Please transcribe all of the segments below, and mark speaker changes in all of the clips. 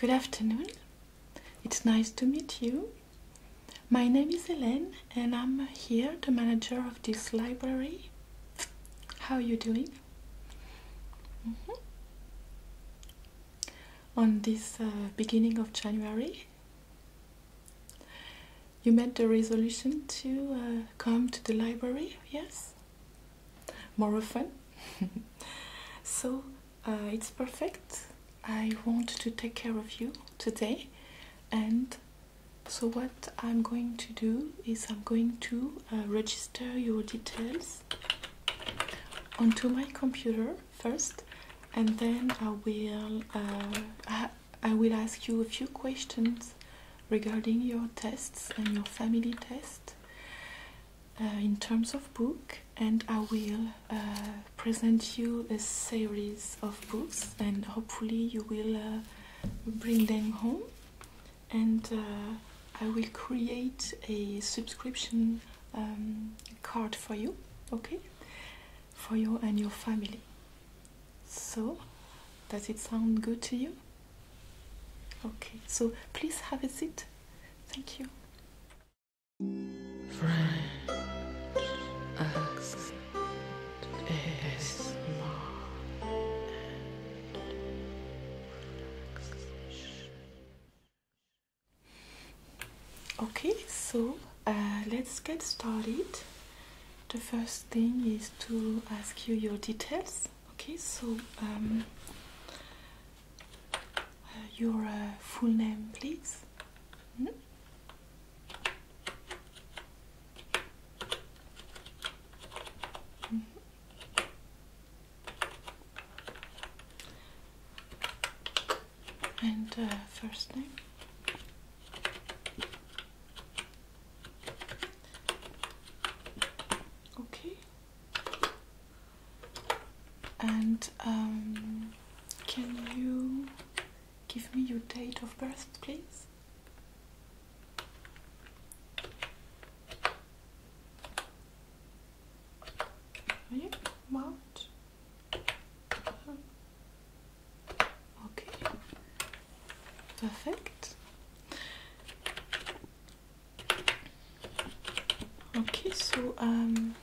Speaker 1: Good afternoon. It's nice to meet you. My name is Hélène and I'm here, the manager of this library. How are you doing? Mm-hmm. On this uh, beginning of January, you made the resolution to uh, come to the library, yes? More often? so uh, it's perfect. I want to take care of you today. And so, what I'm going to do is I'm going to uh, register your details onto my computer first, and then I will. I will ask you a few questions regarding your tests and your family test uh, in terms of book, and I will uh, present you a series of books, and hopefully, you will uh, bring them home. And I will create a subscription um, card for you, okay, for you and your family. So, does it sound good to you? Okay, so please have a seat. Thank you. is Okay, so uh, let's get started the first thing is to ask you your details. Okay, so um, uh, your uh, full name, please. Hmm? Hmm. And uh, first name okay and um, can you give me your date of birth please yeah, March uh-huh. Okay, perfect. Okay, so um,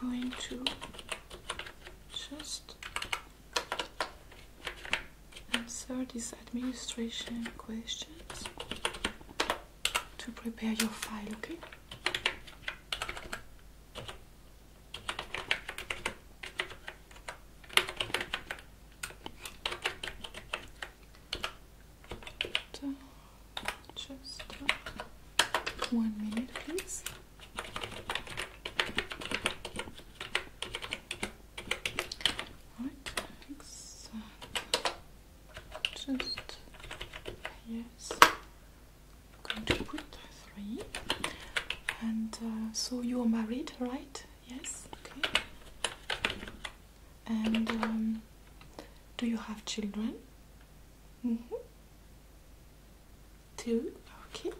Speaker 1: I'm going to just answer these administration questions to prepare your file, okay? just one minute, please. All right, uh, yes going to put three. And uh, so you are married, right? Yes. Okay. And um, do you have children? Mm -hmm. Two. Okay.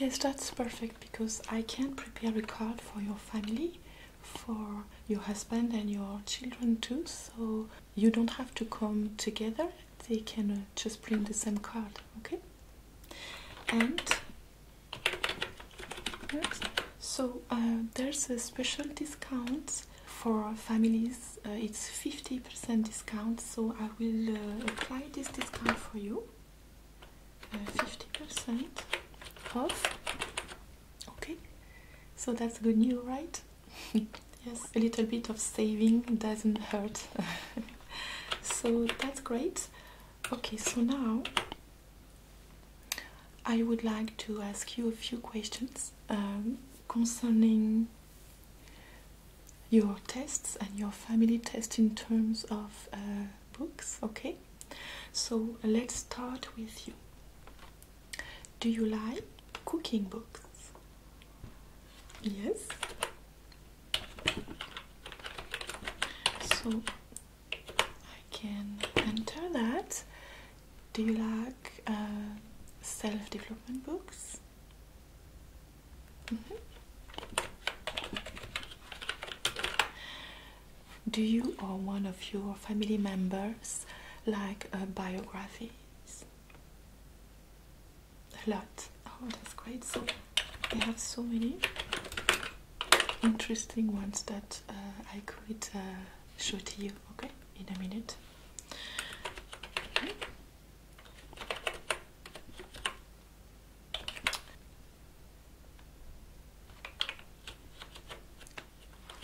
Speaker 1: Yes, that's perfect because I can prepare a card for your family for your husband and your children too so you don't have to come together they can uh, just bring the same card okay and so uh, there's a special discount for families uh, it's 50% discount so I will apply this discount for you 50% off Okay, so that's good news, right? yes, a little bit of saving doesn't hurt. so that's great. Okay, so now I would like to ask you a few questions um, concerning your tests and your family test in terms of uh, books, okay? so let's start with you do you like cooking books yes so I can enter that do you like uh, self-development books mm-hmm do you or one of your family members like uh, biographies? A lot. Oh, that's great. So I have so many interesting ones that uh, I could uh, show to you, okay, in a minute.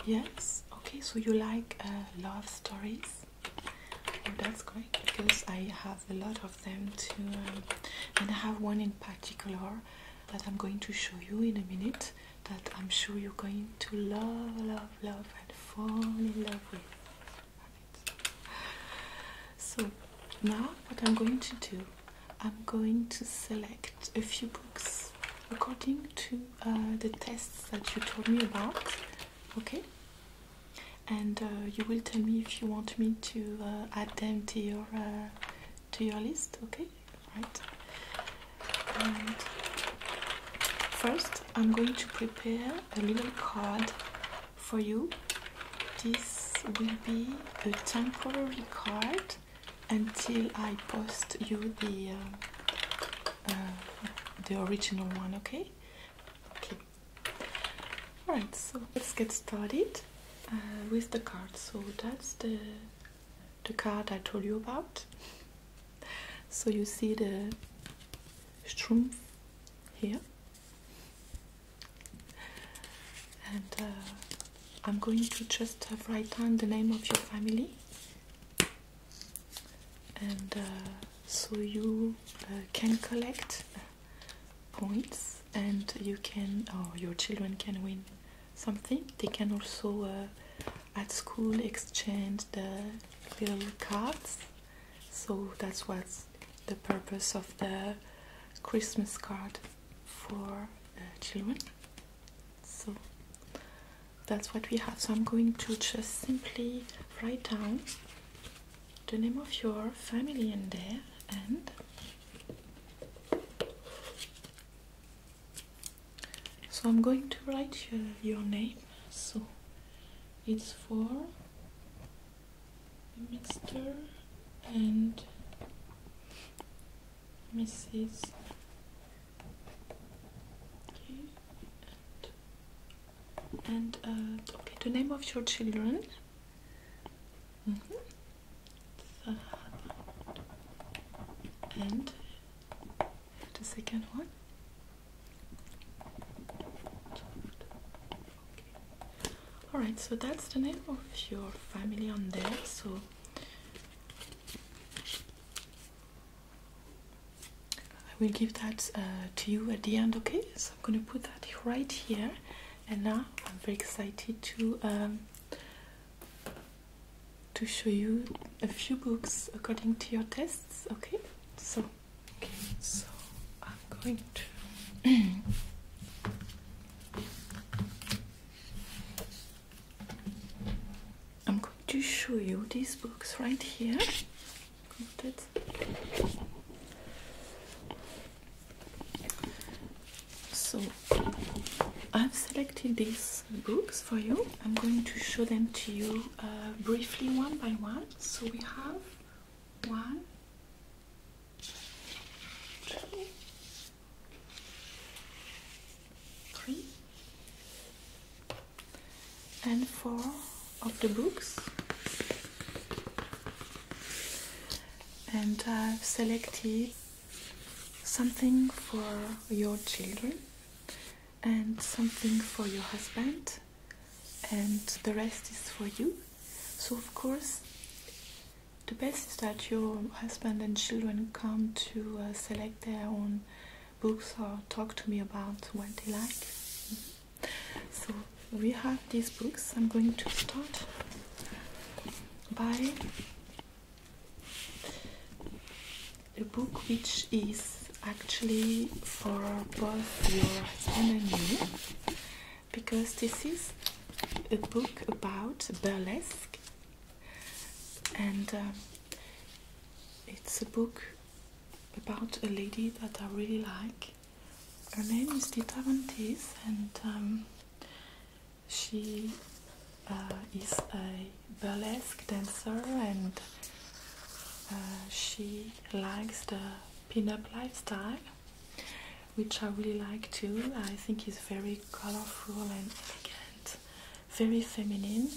Speaker 1: Yes. Okay. So you like uh, love stories? Oh, that's great because I have a lot of them too, um, and I have one in particular that I'm going to show you in a minute. That I'm sure you're going to love, love, love, and fall in love with. So now, what I'm going to do I'm going to select a few books according to uh, the tests that you told me about, okay? And uh, you will tell me if you want me to uh, add them to your to your list, okay? Right. first, I'm going to prepare a little card for you. This will be a temporary card until I post you the uh, uh, the original one. Okay. Okay. All right. So let's get started uh, with the card. So that's the the card I told you about. So you see the Strumpf here, and I'm going to just write down the name of your family, and uh, so you uh, can collect uh, points, and you can, or your children can win something. They can also at school exchange the little cards. So that's what's the purpose of the Christmas card for children so that's what we have so i'm going to just simply write down the name of your family in there and so i'm going to write your, name so it's for mixture and Mrs. And, and uh, okay, the name of your children. Mm -hmm. And the second one. Alright, so that's the name of your family on there. So I will give that uh, to you at the end, okay? So I'm gonna put that right here, and now I'm very excited to um, to show you a few books according to your tests, okay? So, okay, so I'm going to. I'm going to show you these books right here. So I've selected these books for you. I'm going to show them to you uh, briefly one by one. So we have one, two, three and four of the books and I've selected something for your children and something for your husband and the rest is for you so of course the best is that your husband and children come to uh, select their own books or talk to me about what they like. So we have these books. I'm going to start by a book which is actually for both your husband and you because this is a book about burlesque and uh, it's a book about a lady that I really like. Her name is Tita Vantis, and um, she uh, is a burlesque dancer, and uh, she likes the pin-up lifestyle, which I really like too. I think is very colorful and elegant very feminine.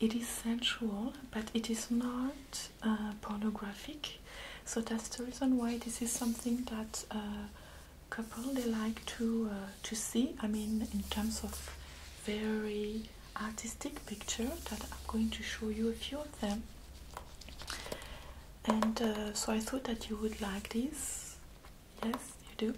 Speaker 1: It is sensual, but it is not uh, pornographic. So that's the reason why this is something that uh, couple they like to uh, to see. I mean, in terms of very artistic picture that I'm going to show you a few of them. And uh, so I thought that you would like this. Yes, you do.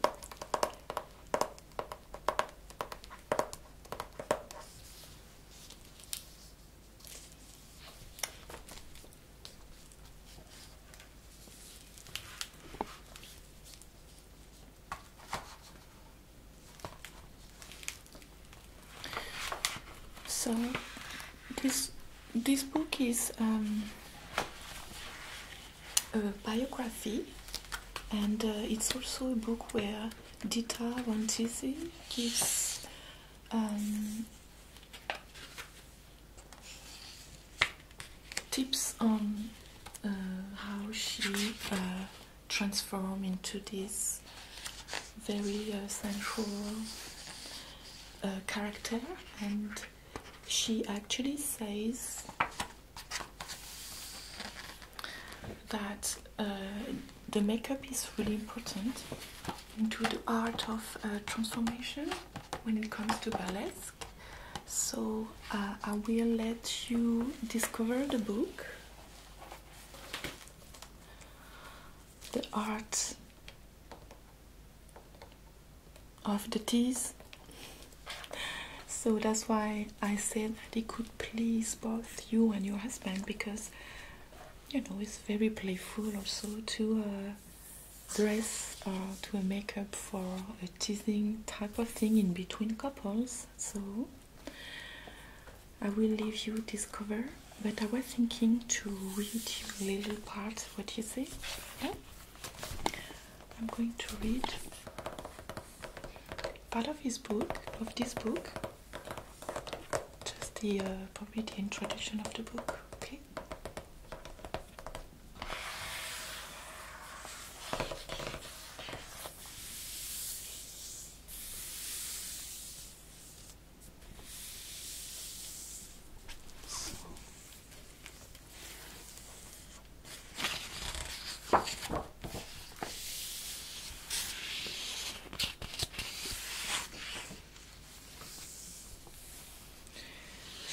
Speaker 1: So this this book is um, a biography, and uh, it's also a book where Dita Von Tizzi gives um, tips on uh, how she uh, transformed into this very sensual uh, character and she actually says that uh, the makeup is really important into the art of uh, transformation when it comes to burlesque. So uh, I will let you discover the book, The Art of the teas so that's why I said that it could please both you and your husband because you know it's very playful also to uh, dress uh, to a makeup for a teasing type of thing in between couples so I will leave you this cover but I was thinking to read you little part what you say I'm going to read part of his book, of this book, just the uh, probably the introduction of the book. Okay.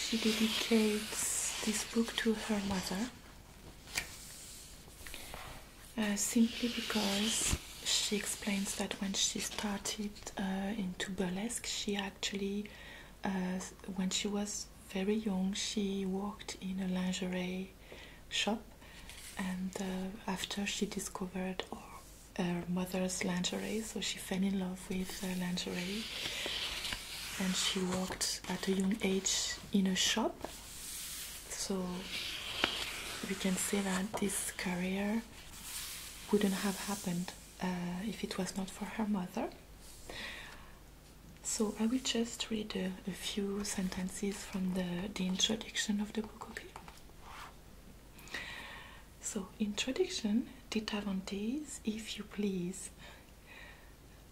Speaker 1: She dedicates this book to her mother uh, simply because she explains that when she started uh, into burlesque, she actually when she was very young, she worked in a lingerie shop, and uh, after she discovered her mother's lingerie, so she fell in love with lingerie. And she worked at a young age in a shop, so we can say that this career wouldn't have happened uh, if it was not for her mother. So I will just read a, few sentences from the, introduction of the book, okay? So, introduction, Ditavantes, if you please.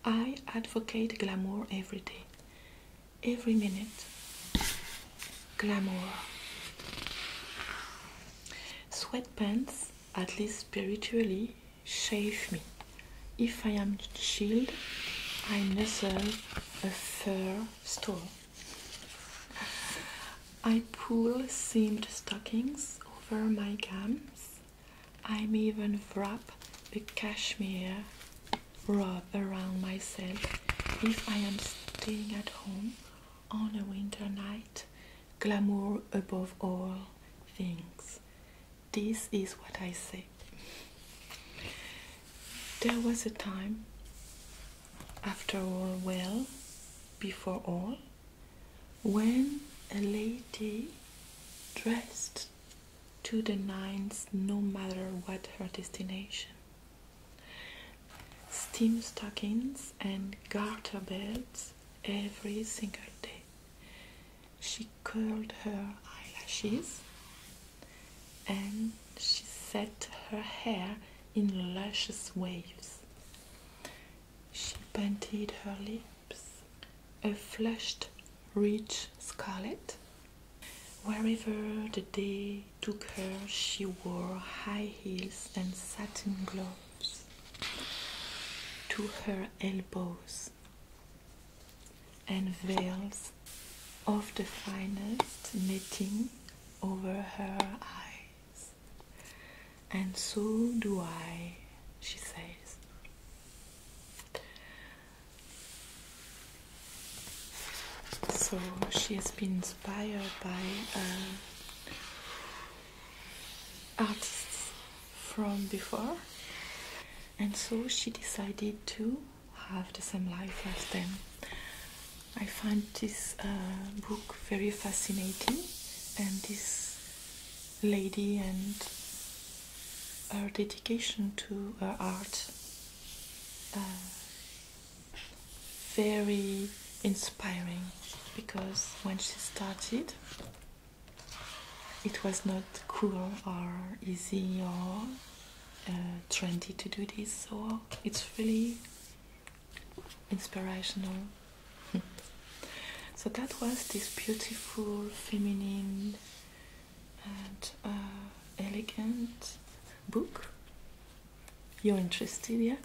Speaker 1: I advocate glamour every day, every minute. Glamour. Sweatpants, at least spiritually, shave me. If I am chilled, I nuzzle a fur stole. I pull seamed stockings over my gums. I'm even wrap a cashmere robe around myself if I am staying at home on a winter night. Glamour above all things. This is what I say. There was a time, after all, well, before all, when a lady dressed to the nines no matter what her destination. Steam stockings and garter belts every single day. She curled her eyelashes and she set her hair in luscious waves. She painted her lips a flushed, rich scarlet. Wherever the day took her, she wore high heels and satin gloves to her elbows and veils of the finest knitting over her eyes. And so do I, she says. So she has been inspired by uh, artists from before and so she decided to have the same life as them. I find this uh, book very fascinating and this lady and her dedication to her art uh, very inspiring because when she started it was not cool or easy or uh, trendy to do this, so it's really inspirational. so that was this beautiful, feminine, and uh, elegant book. You're interested, yeah?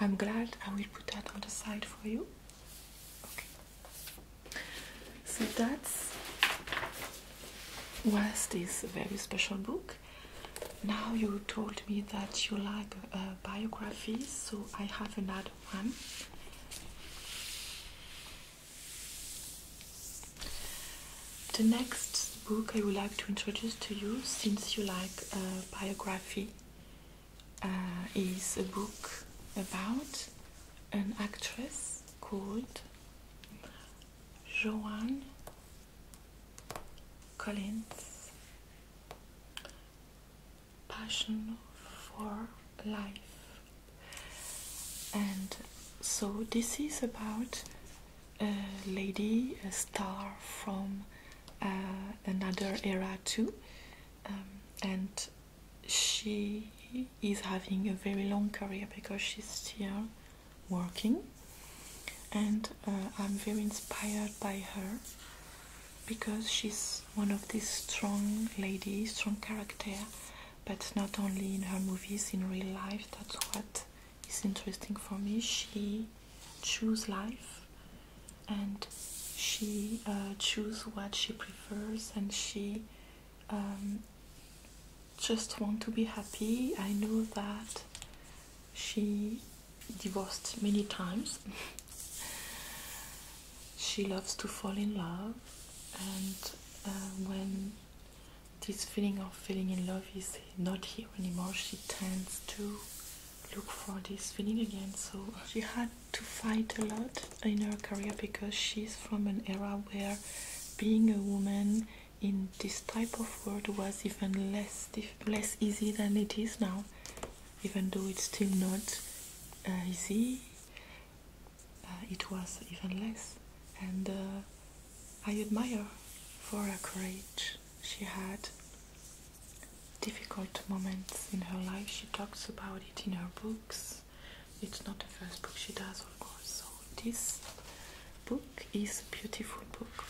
Speaker 1: I'm glad I will put that on the side for you. Okay. So that was this very special book. Now you told me that you like uh, biographies, so I have another one. The next book I would like to introduce to you, since you like uh, biography, uh, is a book about an actress called Joanne Collins. Passion for life. And so this is about a lady, a star from uh, another era too, um, and she is having a very long career because she's still working and uh, I'm very inspired by her because she's one of these strong ladies, strong character, but not only in her movies, in real life. That's what is interesting for me. She choose life and she uh, choose what she prefers and she um, just want to be happy i know that she divorced many times she loves to fall in love and uh, when this feeling of feeling in love is not here anymore she tends to look for this feeling again. So she had to fight a lot in her career because she's from an era where being a woman in this type of world was even less less easy than it is now, even though it's still not uh, easy. Uh, it was even less, and uh, I admire for her courage. She had difficult moments in her life. She talks about it in her books. It's not the first book she does, of course. So, this book is a beautiful book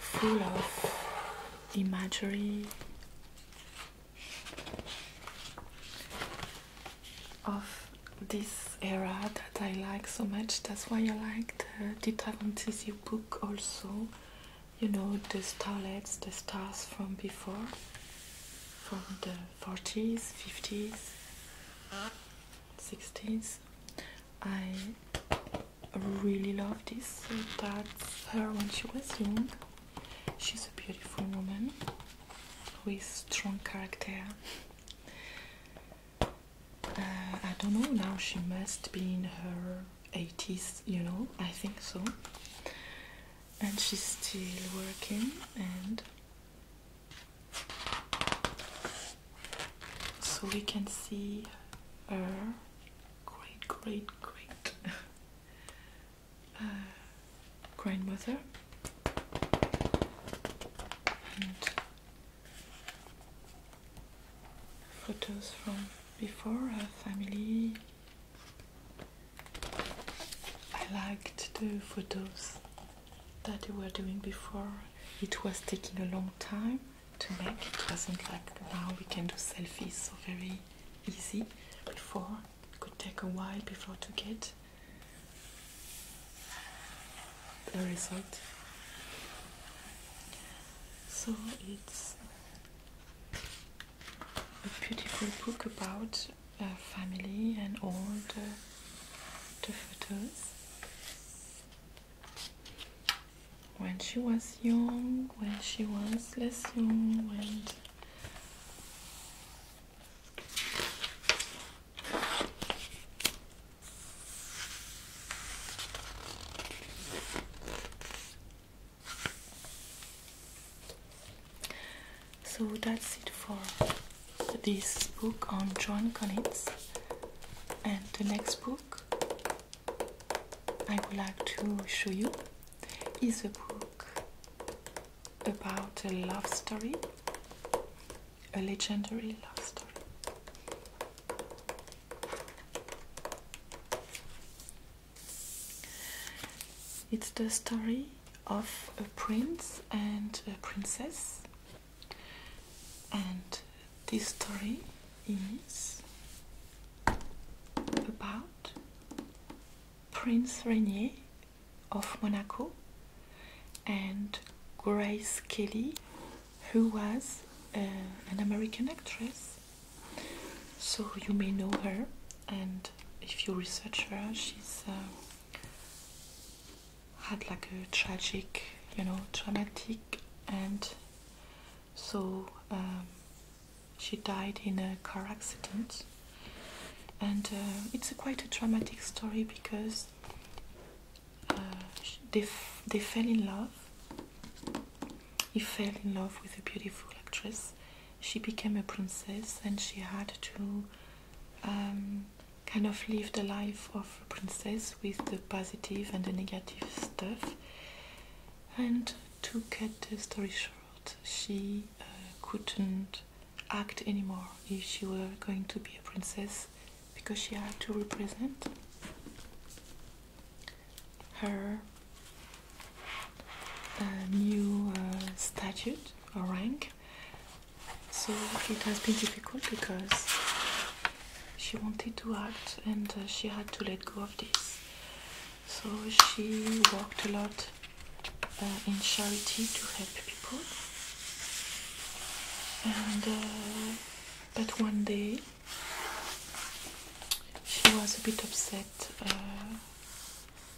Speaker 1: full of imagery of this era that I like so much. That's why I like the Dita Von Tizi book also. You know, the starlets, the stars from before, from the 40s, 50s, 60s. I really love this. that's her when she was young. She's a beautiful woman with strong character. Uh, I don't know now she must be in her 80s you know I think so and she's still working and so we can see her great great great uh, grandmother photos from before our family. I liked the photos that we were doing before. It was taking a long time to make. It wasn't like now we can do selfies so very easy. Before it could take a while before to get the result so it's a beautiful book about uh, family and all the, the photos when she was young, when she was less young, when so that's it for this book on John Collins. And the next book I would like to show you is a book about a love story a legendary love story. It's the story of a prince and a princess, and this story is about Prince Rainier of Monaco and Grace Kelly who was uh, an American actress. So you may know her, and if you research her, she's uh, had like a tragic, you know, traumatic, and so um, she died in a car accident. And uh, it's quite a traumatic story because uh, they, they fell in love. He fell in love with a beautiful actress. She became a princess and she had to um, kind of live the life of a princess with the positive and the negative stuff. And to cut the story short, she uh, couldn't act anymore. If she were going to be a princess, because she had to represent her uh, new uh, statute or rank. So it has been difficult because she wanted to act and uh, she had to let go of this. So she worked a lot in charity to help people and but one day she was a bit upset uh,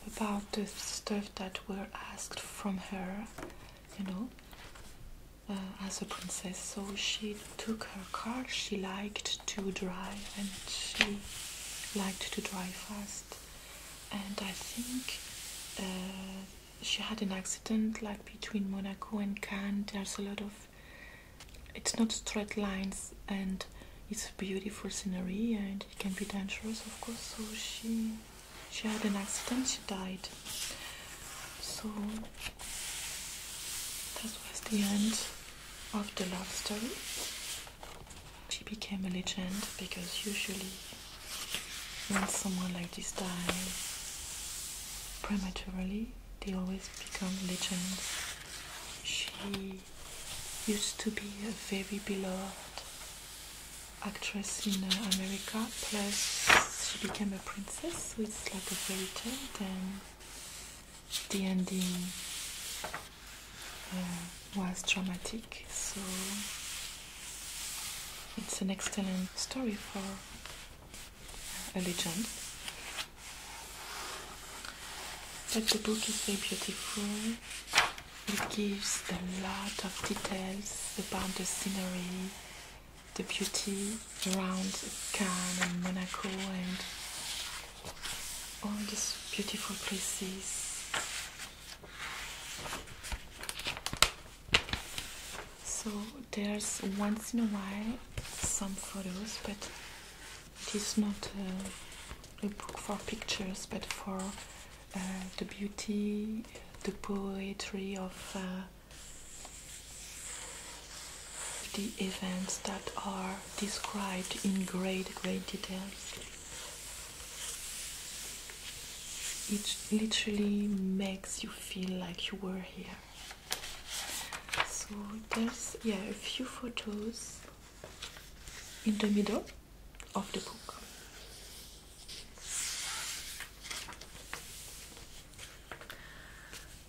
Speaker 1: about the stuff that were asked from her, you know, uh, as a princess. So she took her car. She liked to drive and she liked to drive fast. And I think uh, she had an accident like between Monaco and Cannes. There's a lot of it's not straight lines and it's beautiful scenery and it can be dangerous of course so she she had an accident she died so that was the end of the love story she became a legend because usually when someone like this dies prematurely, they always become legends. She used to be a very beloved actress in uh, America, plus she became a princess, so it's like a fairy tale, then the ending uh, was dramatic, so it's an excellent story for allegiance. But the book is very beautiful. It gives a lot of details about the scenery, the beauty around Cannes and Monaco and all these beautiful places. So there's once in a while some photos, but it is not a book for pictures, but for uh, the beauty, the poetry of uh, the events that are described in great, great details. It literally makes you feel like you were here so there's yeah a few photos in the middle of the book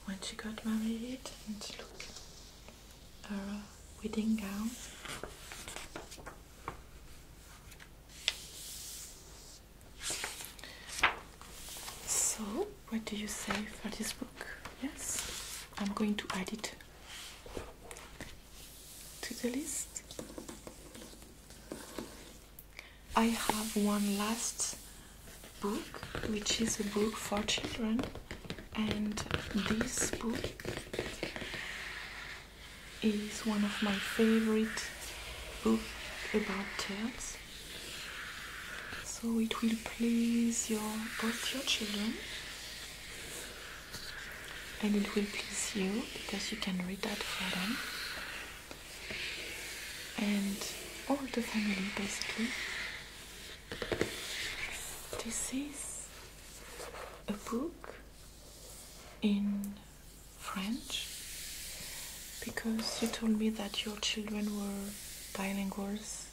Speaker 1: when she got married and looked her wedding gown so, what do you say for this book? Yes, I'm going to add it to the list. I have one last book, which is a book for children, and this book is one of my favorite books about tales so it will please your both your children and it will please you because you can read that for them and all the family basically this is a book in French because you told me that your children were bilinguals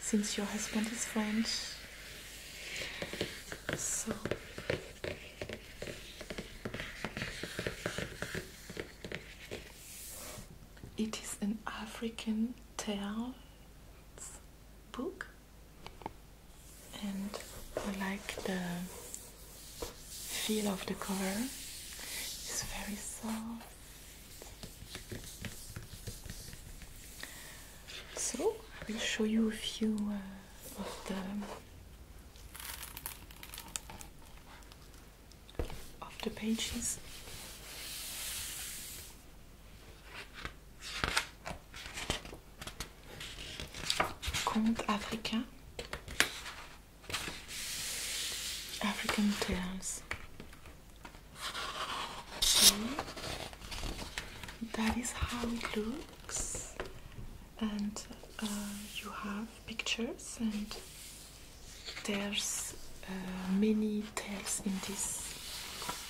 Speaker 1: since your husband is French. So it is an African tale book and I like the feel of the cover. is very soft. So I will show you a few uh, of the of the pages. Conte africain African tales. that is how it looks, and uh, you have pictures, and there's uh, many tales in this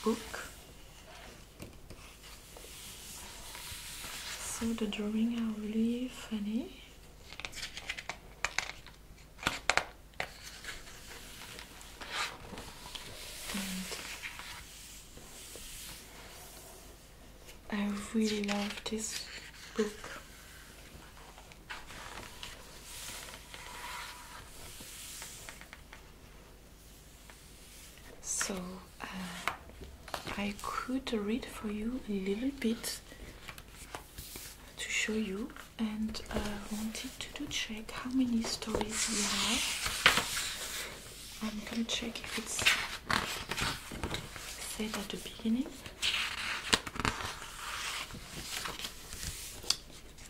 Speaker 1: book. So the drawing are really funny I really love this book. So uh, I could read for you a little bit to show you, and I wanted to check how many stories we have. I'm gonna check if it's said at the beginning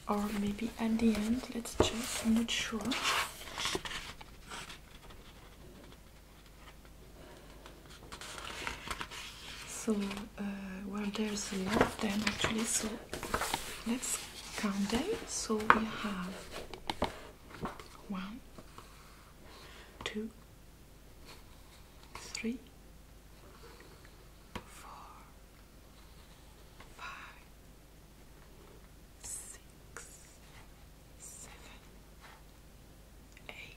Speaker 1: or maybe at the end. Let's check. I'm not sure. So, uh, well, there's a lot of them actually, so let's count them. So, we have one, two, three, four, five, six, seven, eight.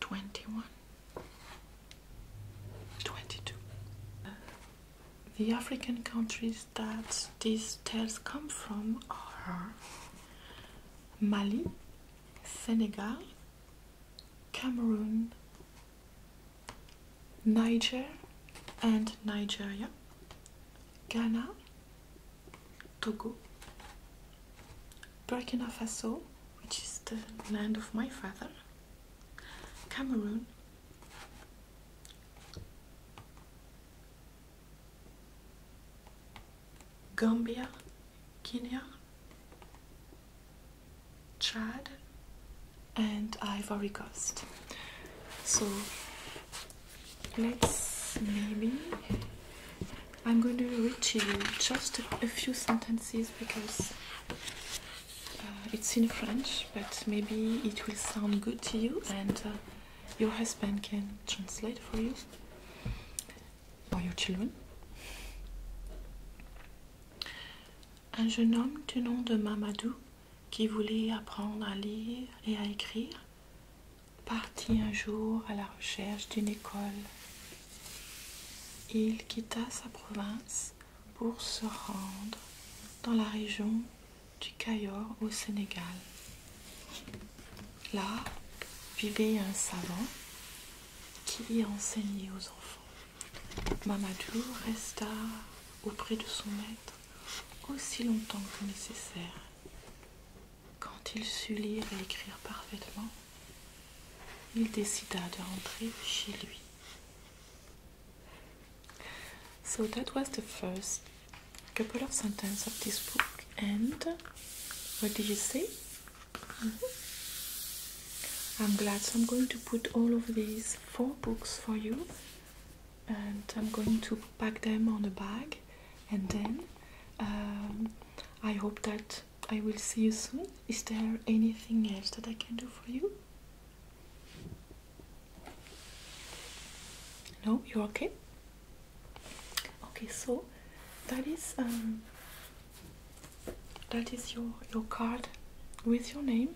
Speaker 1: 21 the African countries that these tales come from are Mali, Senegal, Cameroon, Niger and Nigeria, Ghana, Togo, Burkina Faso, which is the land of my father, Cameroon, Gambia, Kenya, Chad, and Ivory Coast. So let's maybe I'm going to read to you just a few sentences because uh, it's in French, but maybe it will sound good to you and uh, your husband can translate for you or your children. Un jeune homme du nom de Mamadou qui voulait apprendre à lire et à écrire partit un jour à la recherche d'une école. Il quitta sa province pour se rendre dans la région du Cayor au Sénégal. Là vivait un savant qui enseignait aux enfants. Mamadou resta auprès de son maître aussi longtemps que nécessaire. Quand il sut lire et écrire parfaitement, il décida de rentrer chez lui. So that was the first couple of sentences of this book. And what did you say? Mm-hmm. I'm glad. So I'm going to put all of these four books for you, and I'm going to pack them on a bag, and then Um, I hope that I will see you soon. Is there anything else that I can do for you? No, you're okay. Okay, so that is um, that is your your card with your name.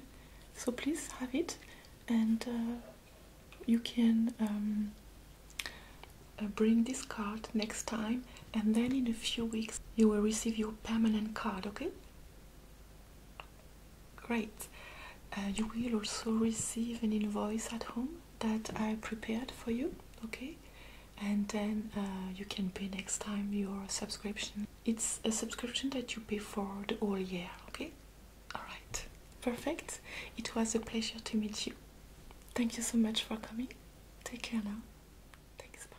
Speaker 1: So please have it, and uh, you can um, uh, bring this card next time and then in a few weeks you will receive your permanent card okay great uh, you will also receive an invoice at home that i prepared for you okay and then uh, you can pay next time your subscription it's a subscription that you pay for the whole year okay all right perfect it was a pleasure to meet you thank you so much for coming Take care now. Thanks, bye.